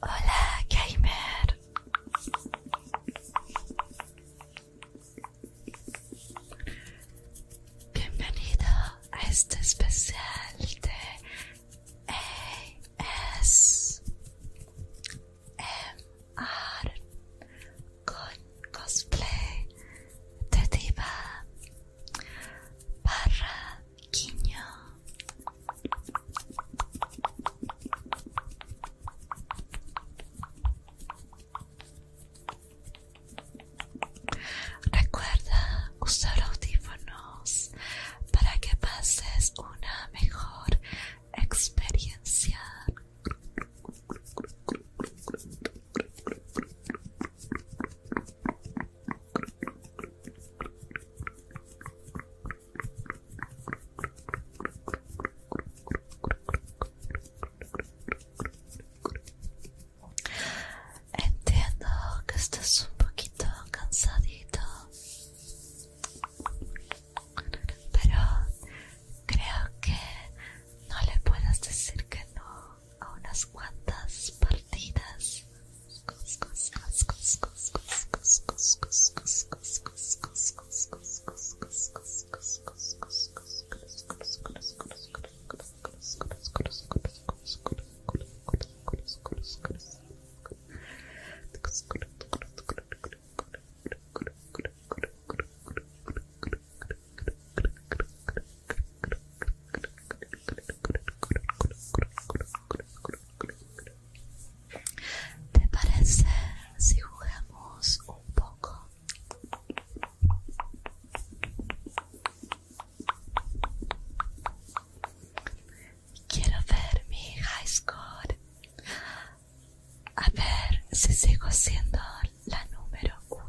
Hola, gamer. Bienvenido a este especial de ASMR con cosplay de diva Recuerda usar audífonos para que pases una mejor experiencia. Entiendo que estás un poquito cansadito, pero creo que no le puedes decir que no a unas cuantas partidas. ¿Te parece si jugamos un poco? Quiero ver mi high score. A ver si sigo siendo la número uno.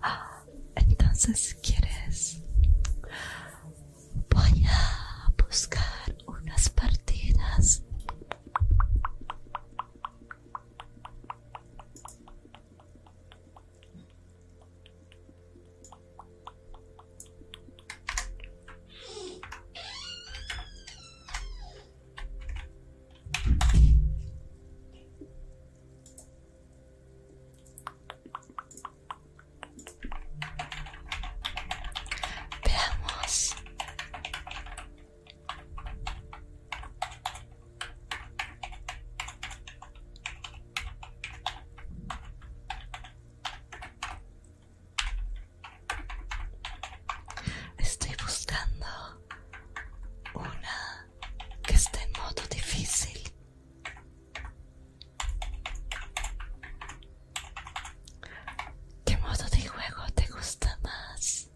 Ah, entonces quieres voy a buscar unas partidas Veamos Estoy buscando una que esté en modo difícil. ¿Qué modo de juego te gusta más?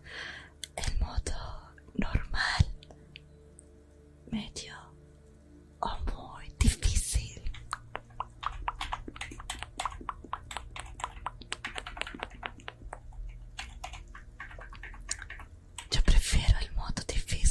el modo normal, medio o muy difícil. Yo prefiero el modo difícil.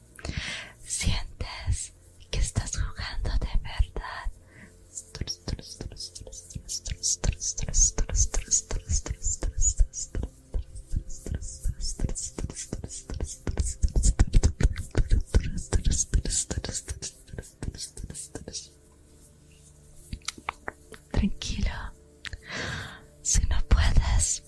Sientes que estás jugando de verdad. Tranquilo, si no puedes,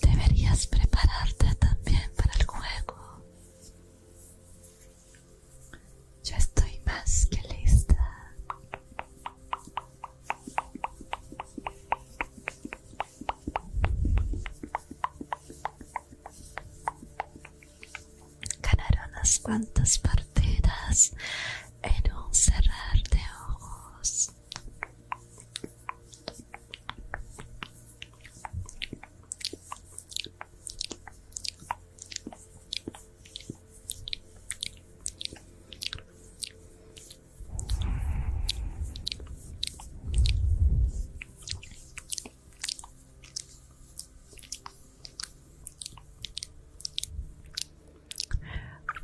Deberías prepararte también para el juego. Yo estoy más que lista. Ganaron las cuantas partidas en un cerrar de ojos.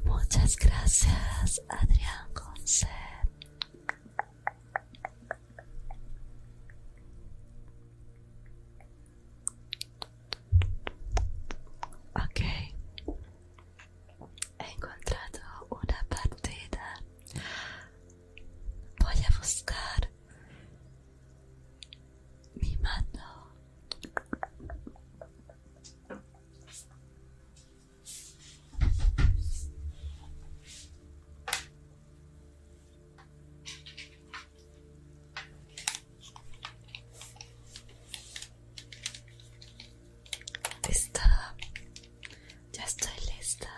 Muchas gracias, Adrián González. Ok, he encontrado una partida. Voy a buscar mi mano. Listo, ya estoy lista.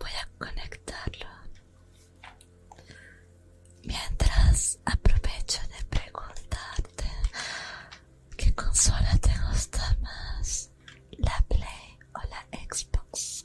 Voy a conectarlo. Mientras aprovecho de preguntarte qué consola te gusta más, la Play o la Xbox.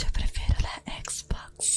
Yo prefiero la Xbox.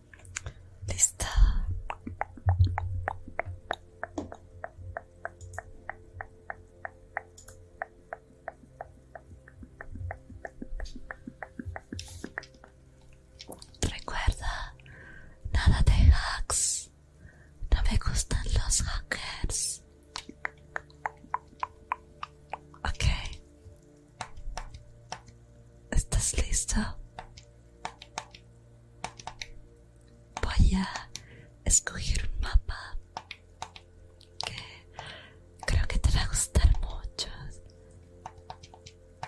Listo Recuerda, nada de hacks. No me gustan los hackers. Okay. ¿Estás listo? Voy a escoger un mapa que creo que te va a gustar mucho.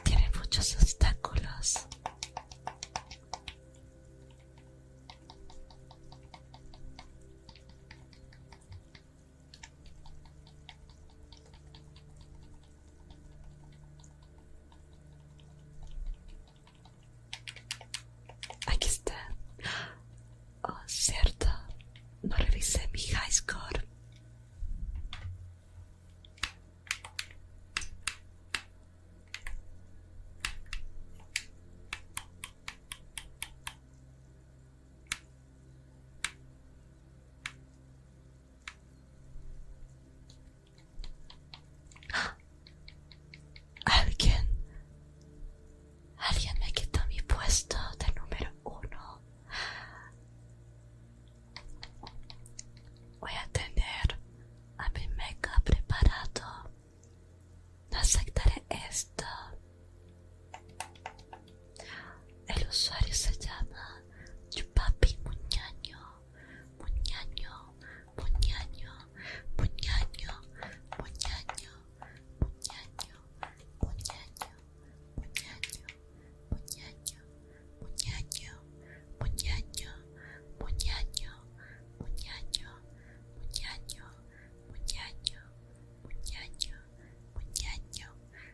Tiene muchos obstáculos. Aquí está. Oh, cierto. No revisé mi high score. Alguien. Alguien me quitó mi puesto de número uno. Voy a tener a mi meca preparado. No aceptaré esto. El usuario se llama Chupapi Muñaño, Muñaño, Muñaño, Muñaño, Muñaño, Muñaño, Muñaño, Muñaño, Muñaño, Muñaño, Muñaño, Muñaño, Muñaño, Muñaño, Muñaño, Muñaño, Muñaño,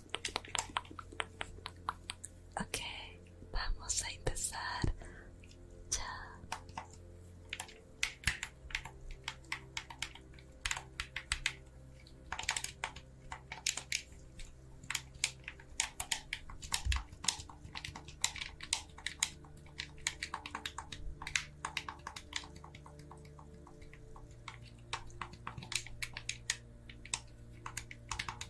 Ok, vamos a empezar ya.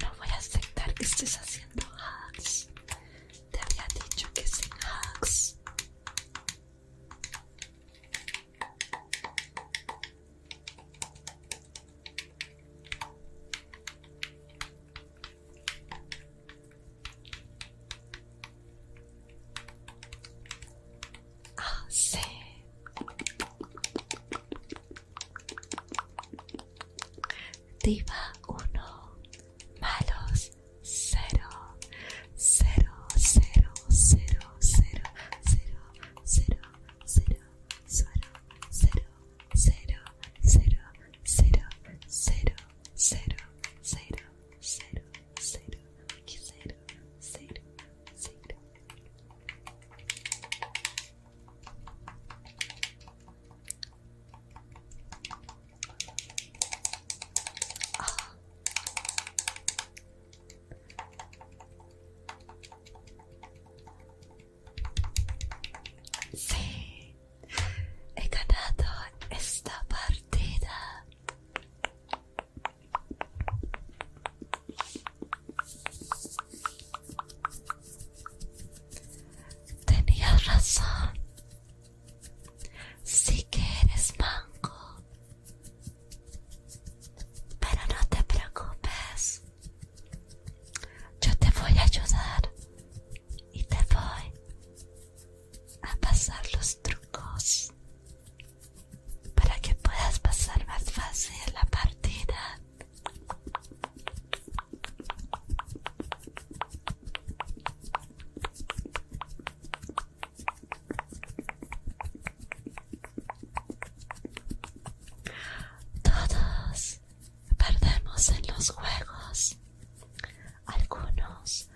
No voy a aceptar que estés haciendo hacks. Te había dicho que sin hacks. Ah, sí. Diva 1, malos 0, cero, 0, 0, 0, 0, 0, 0, 0, 0, zero, zero, zero, zero, zero, zero, zero, zero, zero, zero, zero. Ah. Sí, he ganado esta partida. Tenías razón. Sí que eres manco. Pero no te preocupes. Yo te voy a ayudar y te voy a pasar los trucos para que puedas pasar más fácil la partida. Todos perdemos en los juegos. Algunos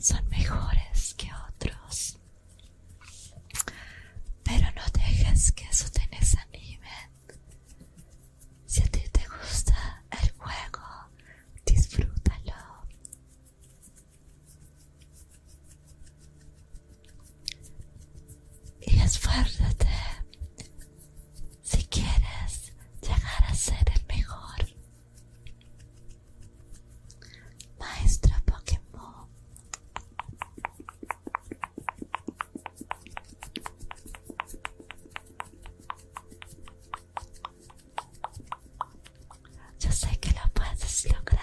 son mejores que otros. Pero no dejes que eso te desanime. Si a ti te gusta el juego, disfrútalo. Y esfuerzate si quieres llegar a ser el mejor. Maestro Pokémon. Yo sé que lo puedes lograr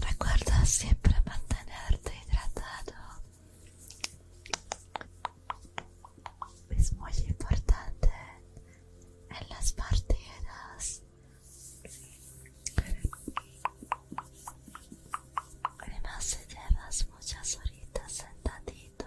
Recuerda siempre mantenerte hidratado. Es muy importante en las partidas. Además, se llevas muchas horitas sentadito.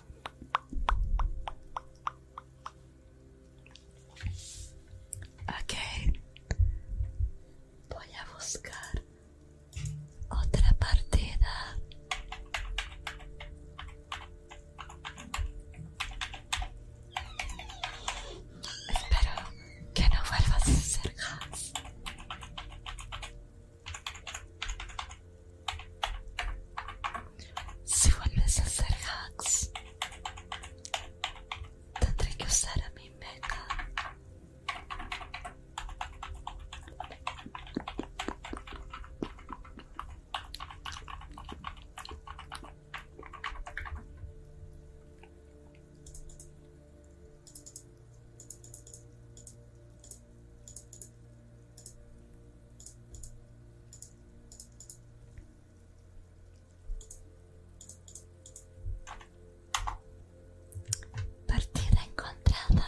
Ok, voy a buscar otra partida. Espero que no vuelvas a ser si vuelves a hacer hacks, tendré que usar a mi meta. Partida encontrada.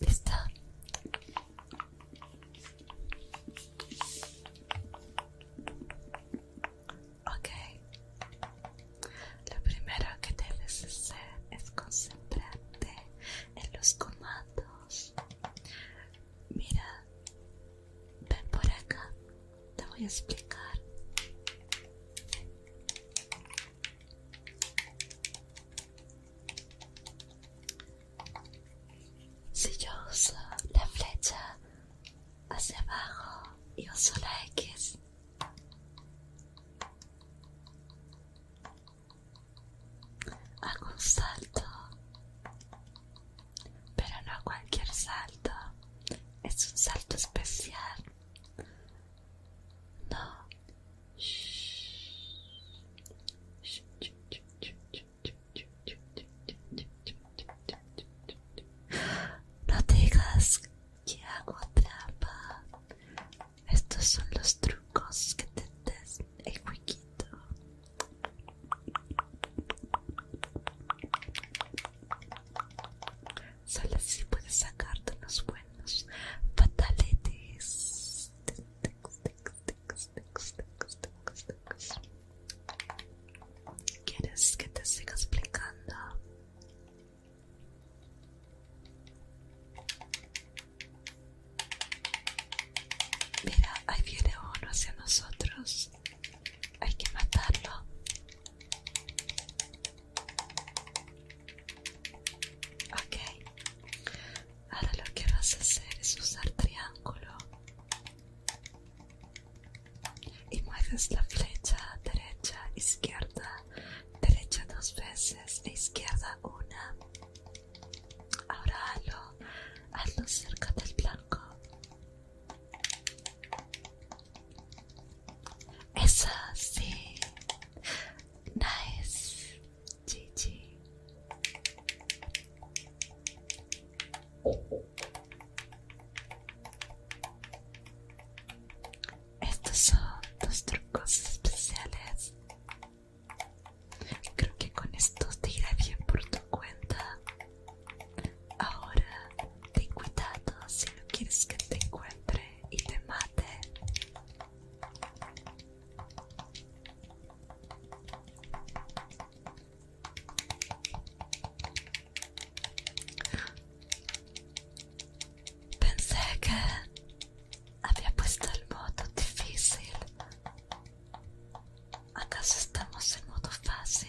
Listo. Ok, lo primero que debes hacer es concentrarte en los comandos. Mira, ven por acá, te voy a explicar. Si yo uso la flecha hacia abajo y uso la X, hago un salto, pero no cualquier salto, es un salto especial. No. No digas que hago trampa. Estos son los trucos que te des el jueguito Solo así puedes sacarte los buenos pataletes ¿Quieres que te siga explicando? Mira, ahí viene uno hacia nosotros. Hay que matarlo. Ok. Ahora lo que vas a hacer es usar triángulo y mueves la flecha derecha, izquierda, derecha dos veces e izquierda una. Ahora hazlo, hazlo cerca del blanco. Esa sí. Nice. GG. Estos son dos trucos especiales. Creo que con estos te irá bien por tu cuenta. Ahora ten cuidado si no quieres que te encuentre y te mate. Pensé que había puesto el modo difícil. ¿Acaso estamos en modo fácil?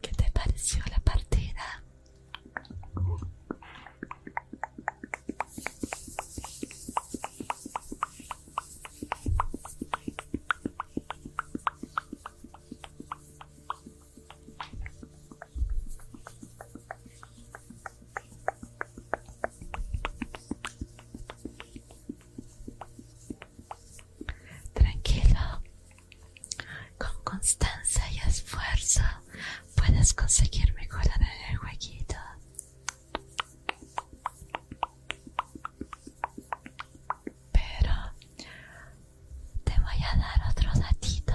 ¿Qué te pareció la partida? Tranquilo, con constancia y esfuerzo puedes conseguir mejorar en el jueguito. Pero te voy a dar otro datito.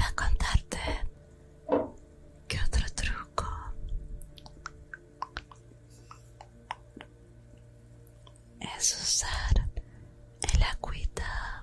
va a contarte que otro truco es usar el acuita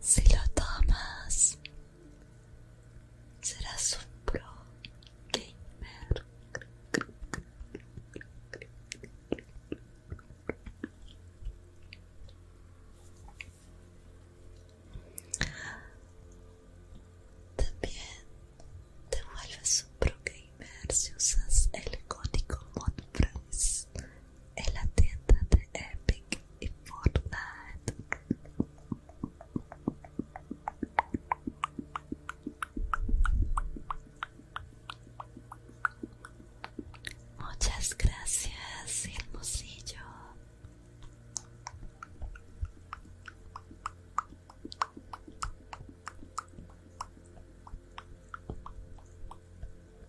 Si lo tomas, serás un pro gamer. También te vuelves un pro gamer si usas el código ModPrice en la tienda de Epic y Fortnite. Muchas gracias, hermosillo.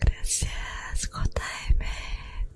Gracias, contáeme.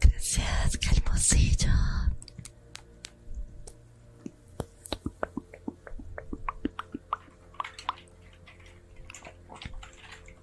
Gracias, calmosillo!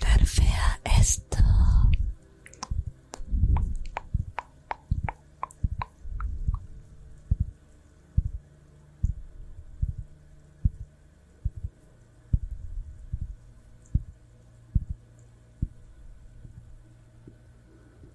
Nerfea esto.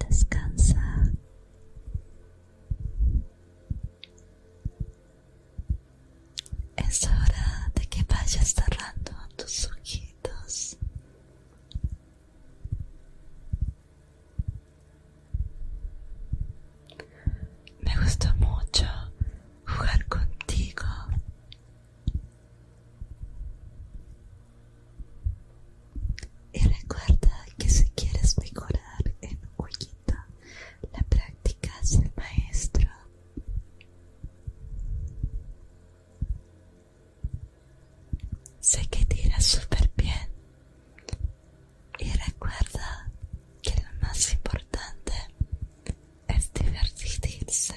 Descansa. Es hora de que vayas cerrando tus ojitos. Me gustó mucho jugar contigo. Y recuerda que si quieres mejorar en poquito la práctica es el maestro. Sé que tira super bien. Y recuerda que lo más importante es divertirse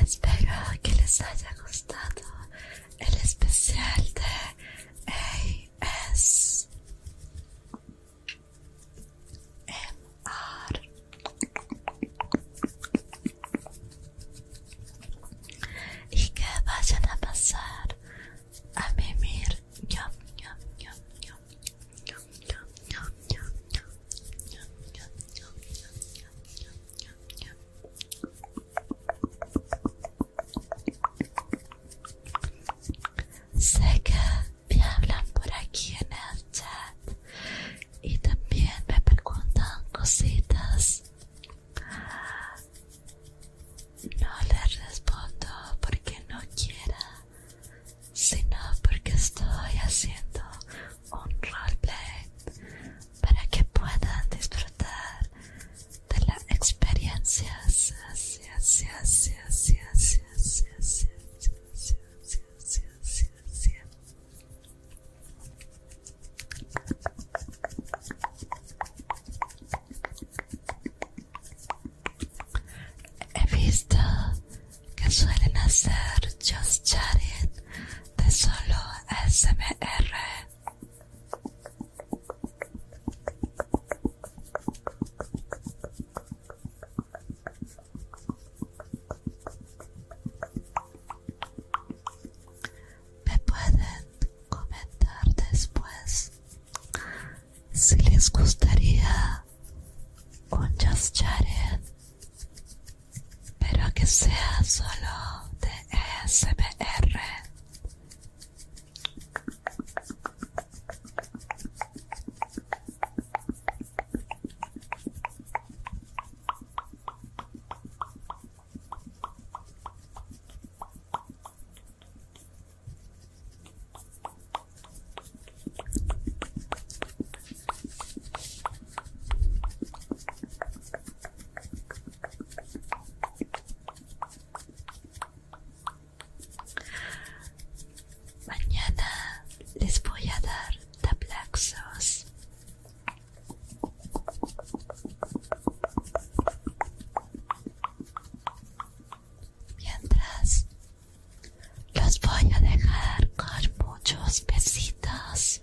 Espero que les haya gustado el especial de AS MR. Y que vayan a pasar a mimir. Sé que me hablan por aquí en el chat y también me preguntan cositas. No les respondo porque no quiera, sino porque estoy haciendo un roleplay para que puedan disfrutar de la experiencia. He visto que suelen hacer just chatting de solo SMR. Me pueden comentar después si les gustaría un pero que sea solo de SBR. Mañana les voy a dar la Mientras los voy a dejar con muchos besitos.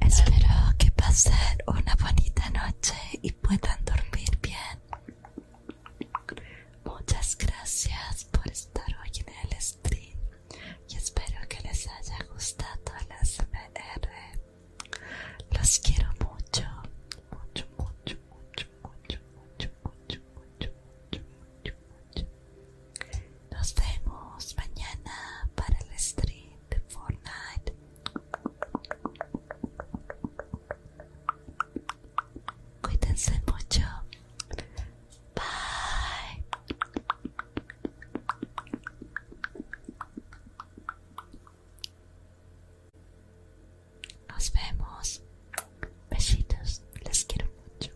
Espero que pase una bonita noche y puedan dormir bien. Muchas gracias por estar hoy en el stream y espero que les haya gustado la SMR. Los quiero mucho, mucho, mucho, mucho, mucho, mucho, mucho, mucho, mucho, mucho, mucho. Nos vemos mañana para el stream de Fortnite. Cuídense mucho. Bye. Nos vemos. Besitos. Les quiero mucho.